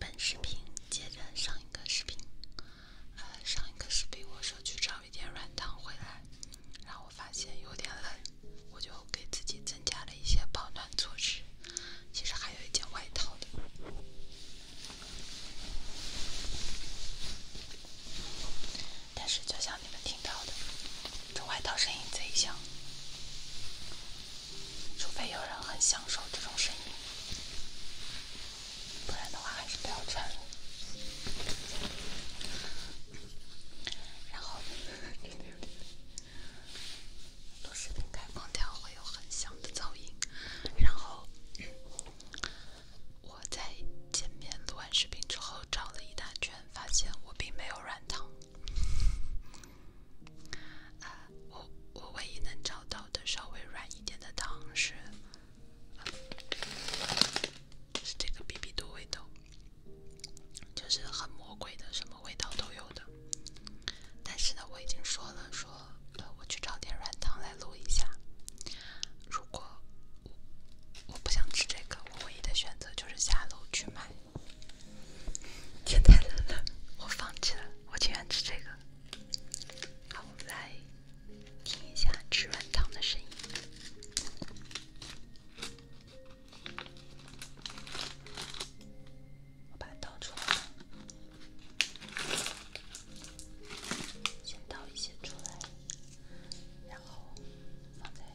本视频接着上一个视频，呃，上一个视频我说去找一点软糖回来，然后我发现有点冷，我就给自己增加了一些保暖措施，其实还有一件外套的，但是就像你们听到的。这外套声音贼响，除非有人很享受这种声音，不然的话还是不要穿了。然后录视频开空调会有很响的噪音。然后我在前面录完视频之后找了一大圈，发现我并没有软糖。啊，我我唯一能找到的稍微软一点的糖是是这个 BB 多味道，就是很魔鬼的，什么味道都有的。但是呢，我已经说了说了，我去找点软糖来录一下。如果我不想吃这个，我唯一的选择就是下楼去买。天太冷我放弃了。我宁愿吃这个。好，我们来听一下吃软糖的声音。我把糖出来先倒一些出来，然后放在。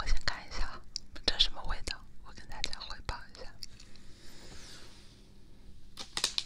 我先看一下，这什么味道？我跟大家汇报一下。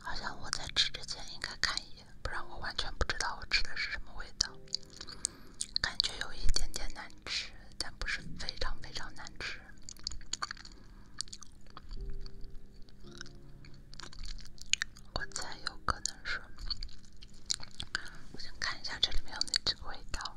好像我在吃之前应该看一眼，不然我完全不知道我吃的是什么味道。感觉有一点点难吃，但不是非常非常难吃。我猜有可能是……我想看一下这里面有哪几个味道。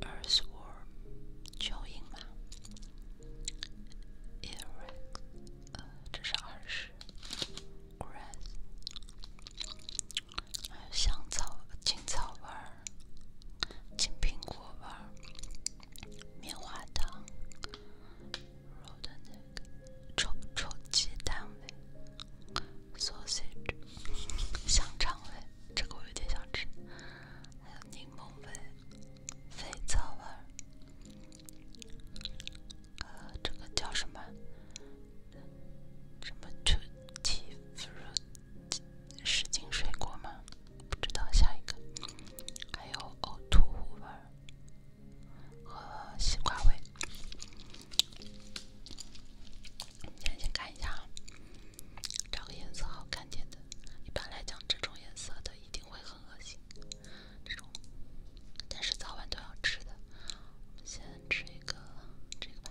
earthworm，蚯蚓吗？irres，这是二十。grass，还有香草、青草味儿、青苹果味儿、棉花糖、rodent，臭臭鸡蛋味。sausage 香肠味，这个我有点想吃。还有柠檬味、肥皂味，和这个叫什么什么 t w o t e a fruit 湿巾水果吗？不知道下一个。还有呕吐物味和西瓜味。先先看一下啊，找个颜色好看点的。一般来讲，这种颜色的一定会很恶心。这种，但是早晚都要吃的。我们先吃一个这个吧。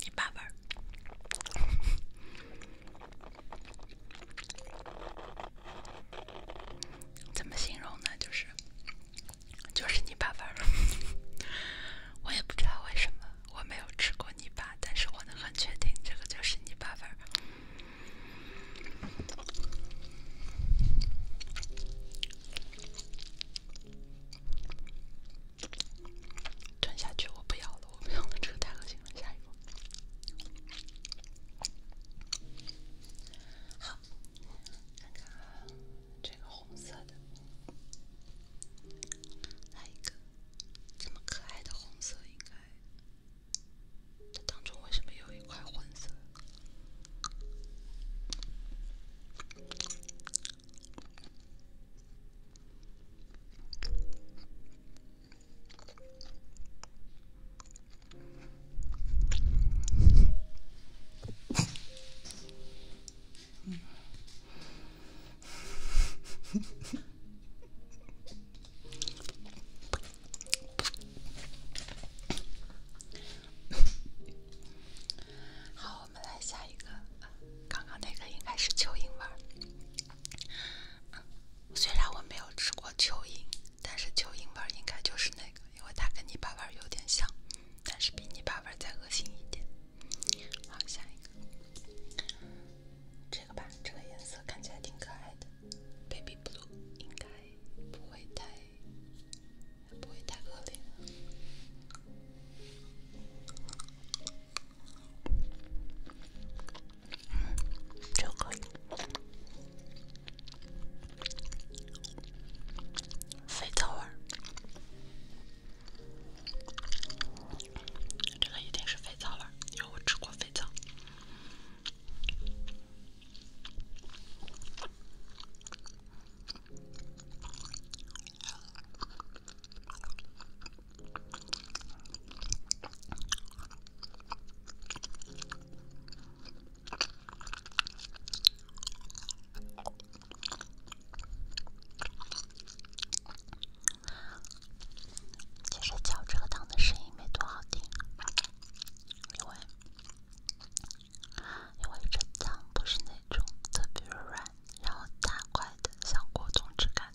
泥巴味怎么形容呢？就是，就是泥巴味我也不知道为什么我没有吃过泥巴，但是我能很确定这个就是泥巴味吞下去，我不要了，我们用的这个太恶心了，下一个。好，看看这个红色的，来一个这么可爱的红色，应该这当中为什么有一块黄色？好，我们来下一个。刚刚那个应该是蚯蚓味儿。虽然我没有吃过蚯蚓，但是蚯蚓味儿应该就是那个，因为它跟你爸爸有点像，但是比你爸爸再恶心一点。好，下一个，这个吧，这个颜色看起来挺可爱的，baby blue，应该不会太不会太恶劣。这个肥皂味儿，这个一定是肥皂味儿，因为我吃过肥皂。其实嚼这个的声音没多好听，因为因为这汤不是那种特别软，然后大块的像果冻质感。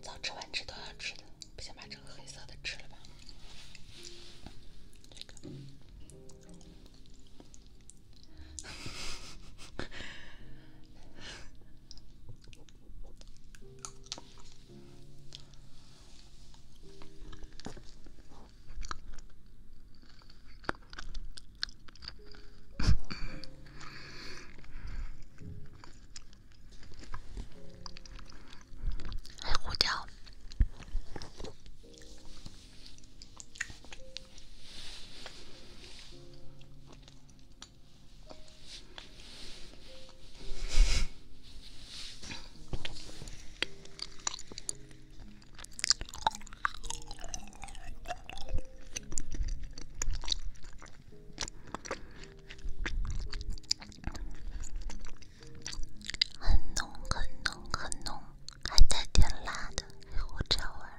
早吃完吃都要吃的，不行，把这个黑色的吃了吧。黑胡椒。很浓，很浓，很浓，还带点辣的，我这味儿。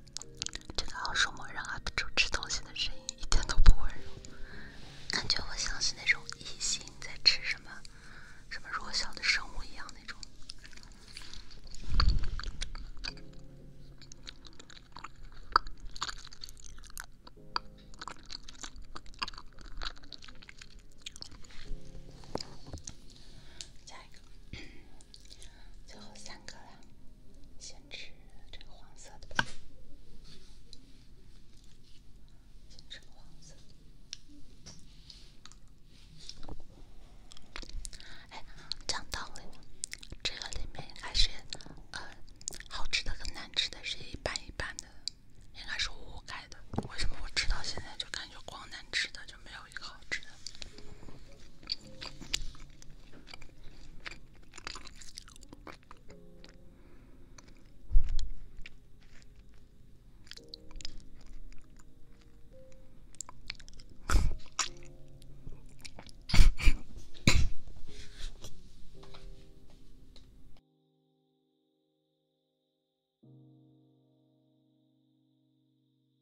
这个老鼠猫让阿猪吃东西的声音一点都不温柔，感觉我像是那种异形在吃什么什么弱小的生物一样那种。下一个。最后三个了，先吃这个黄色的吧，哎，讲道理，这个里面应是，呃，好吃的和难吃的是一半一半的，应该是五五开的。为什么我吃到现在就感觉光难吃的就没有？好吃。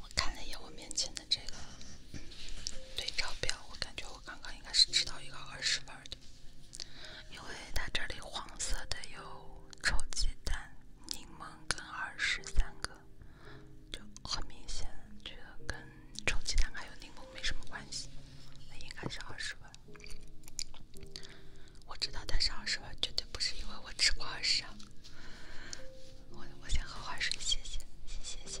我看了一眼我面前的这个对照表，我感觉我刚刚应该是吃到一个二十分的，因为它这里黄色的有臭鸡蛋、柠檬跟二十个，就很明显觉得跟。充鸡蛋还有柠檬没什么关系，那应该是二十万。我知道，他是二十万绝对不是因为我吃过瓜啊。我我先喝点水，谢谢谢谢谢。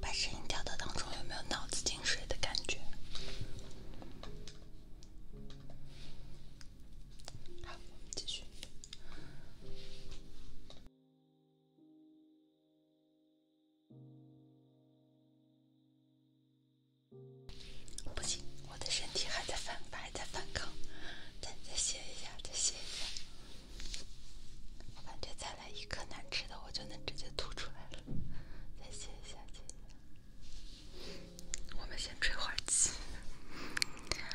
把声音调到当中，有没有脑子进水的感觉？好，我们继续。不行，我的身体还在反，还在反抗。再再歇一下，再歇一下。我感觉再来一颗难吃的，我就能直接吐出来了。再歇一下，歇一下。我们先吹会儿气。啊，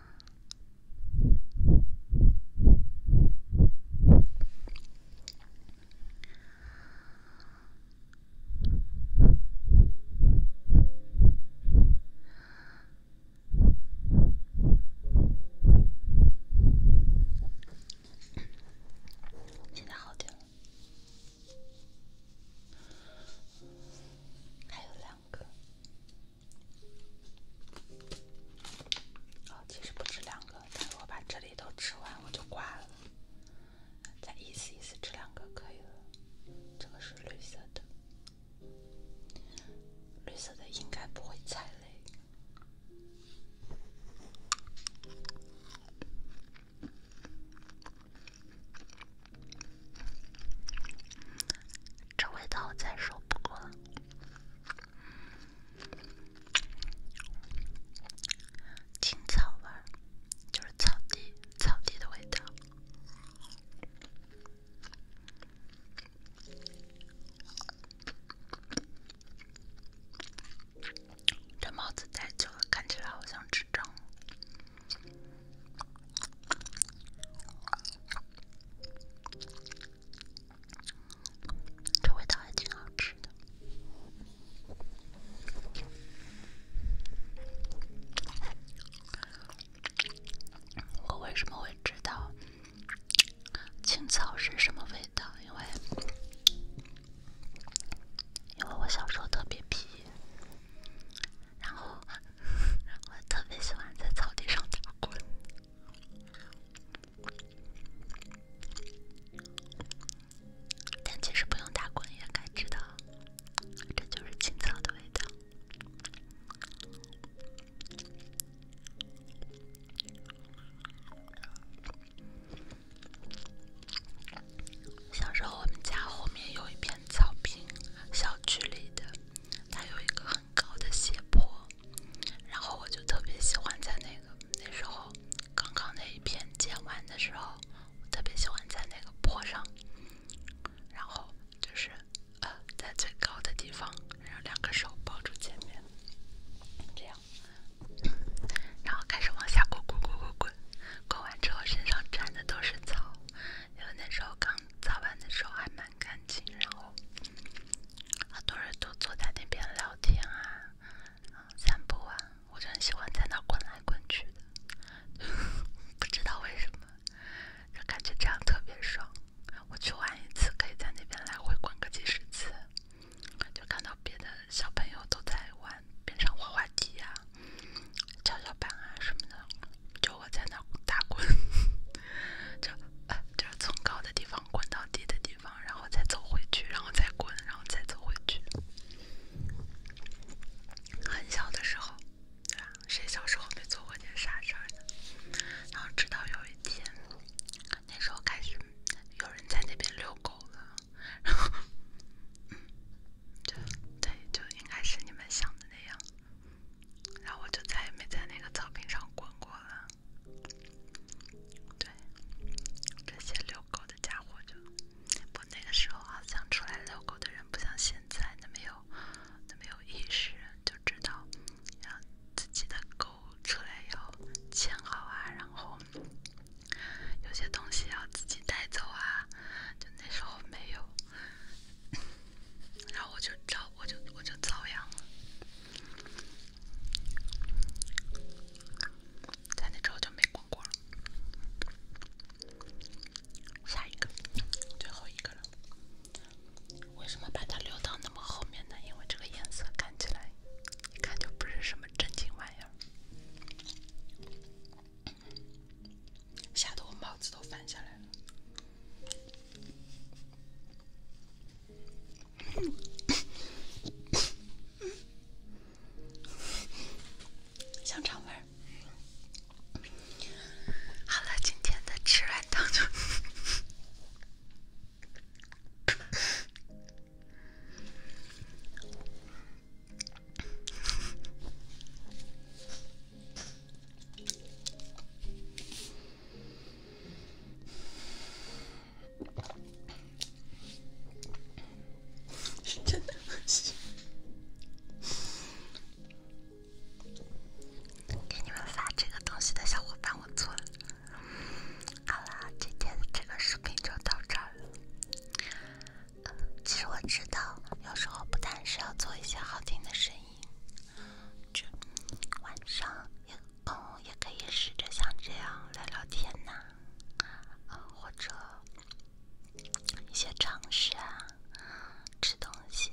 现在好点了，还有两。个，好，其实不止两个，但是我把这里都吃完，我就挂了。再一次一次，这两个可以了。这个是绿色的，绿色的应该不会踩雷。这味道我再说不过了，青草味就是草地、草地的味道。这帽子戴久了，看起来好像智障。这味道还挺好吃。的。我为什么会知道青草是什么味道？因为因为我小时候特别皮。然后 我特别喜欢在草地上打滚，但其实不用打滚也该知道，这就是青草的味道。小时候，我们家后面有一片草坪，小区里的。它有一个很高的斜坡，然后我就特别喜欢在那个那时候刚刚那一片建完的时候，我特别喜欢在那个坡上，然后就是呃在最高的地方，然后两个手抱住前面，这样，然后开始往下滚，滚，滚，滚，滚，滚完之后身上沾的都是草，因为那时候刚。早玩的时候还蛮干净，然后好多人都坐在那边聊天啊、散步啊，我就很喜欢在那滚来滚去的，不知道为什么，就感觉这样特别爽。我去玩一次，可以在那边来回滚个几十次，就看到别的小朋友都在玩边上滑滑梯呀。跷跷板啊什么的，就我在那打滚，就就是从高的地方滚到低的地方，然后再走回去，然后再滚，然后再走回去。很小的时候，对吧？谁小时候没做过点傻事呢？然后直到有一天，那时候开始有人在那边遛狗了，然后，嗯，对对，就应该是你们想的那样。然后我就再也没在那个草坪上滚过了。对，这些遛狗的家伙就，我那个时候好像出来遛狗的人不像现在那么有那么有意识，就知道，让自己的狗出来要牵好啊，然后有些东西要自己带走啊，就那时候没有。然后我就遭，我就我就遭殃了。咱那之后就没逛过了。下一个，最后一个了。为什么把它留到那么后面呢？因为这个颜色看起来，一看就不是什么正经玩意儿。吓得我帽子都翻下来了，香肠味好了，今天的吃软糖 真的不行！给你们发这个东西的小伙伴，我错了。好啦，今天这个视频就到这儿了。其实我知道，有时候不单是要做一些好听的声音，就晚上也嗯，也可以试着像这样聊聊天呐，啊或者一些常识啊，吃东西、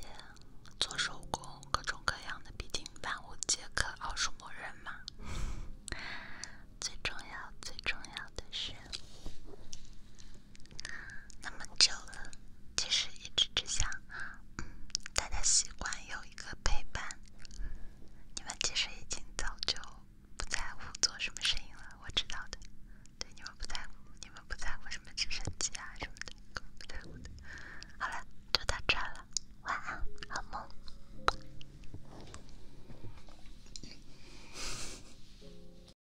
做手工，各种各样的，毕竟万物皆可奥数默认嘛。最重要、最重要的是。那么久了，其实一直只想大家习惯有一个陪伴。你们其实已经早就不在乎做什么声音了，我知道的。对，你们不在乎，你们不在乎什么直升机啊什么的，不在乎的。好了，就到这了，晚安，好梦。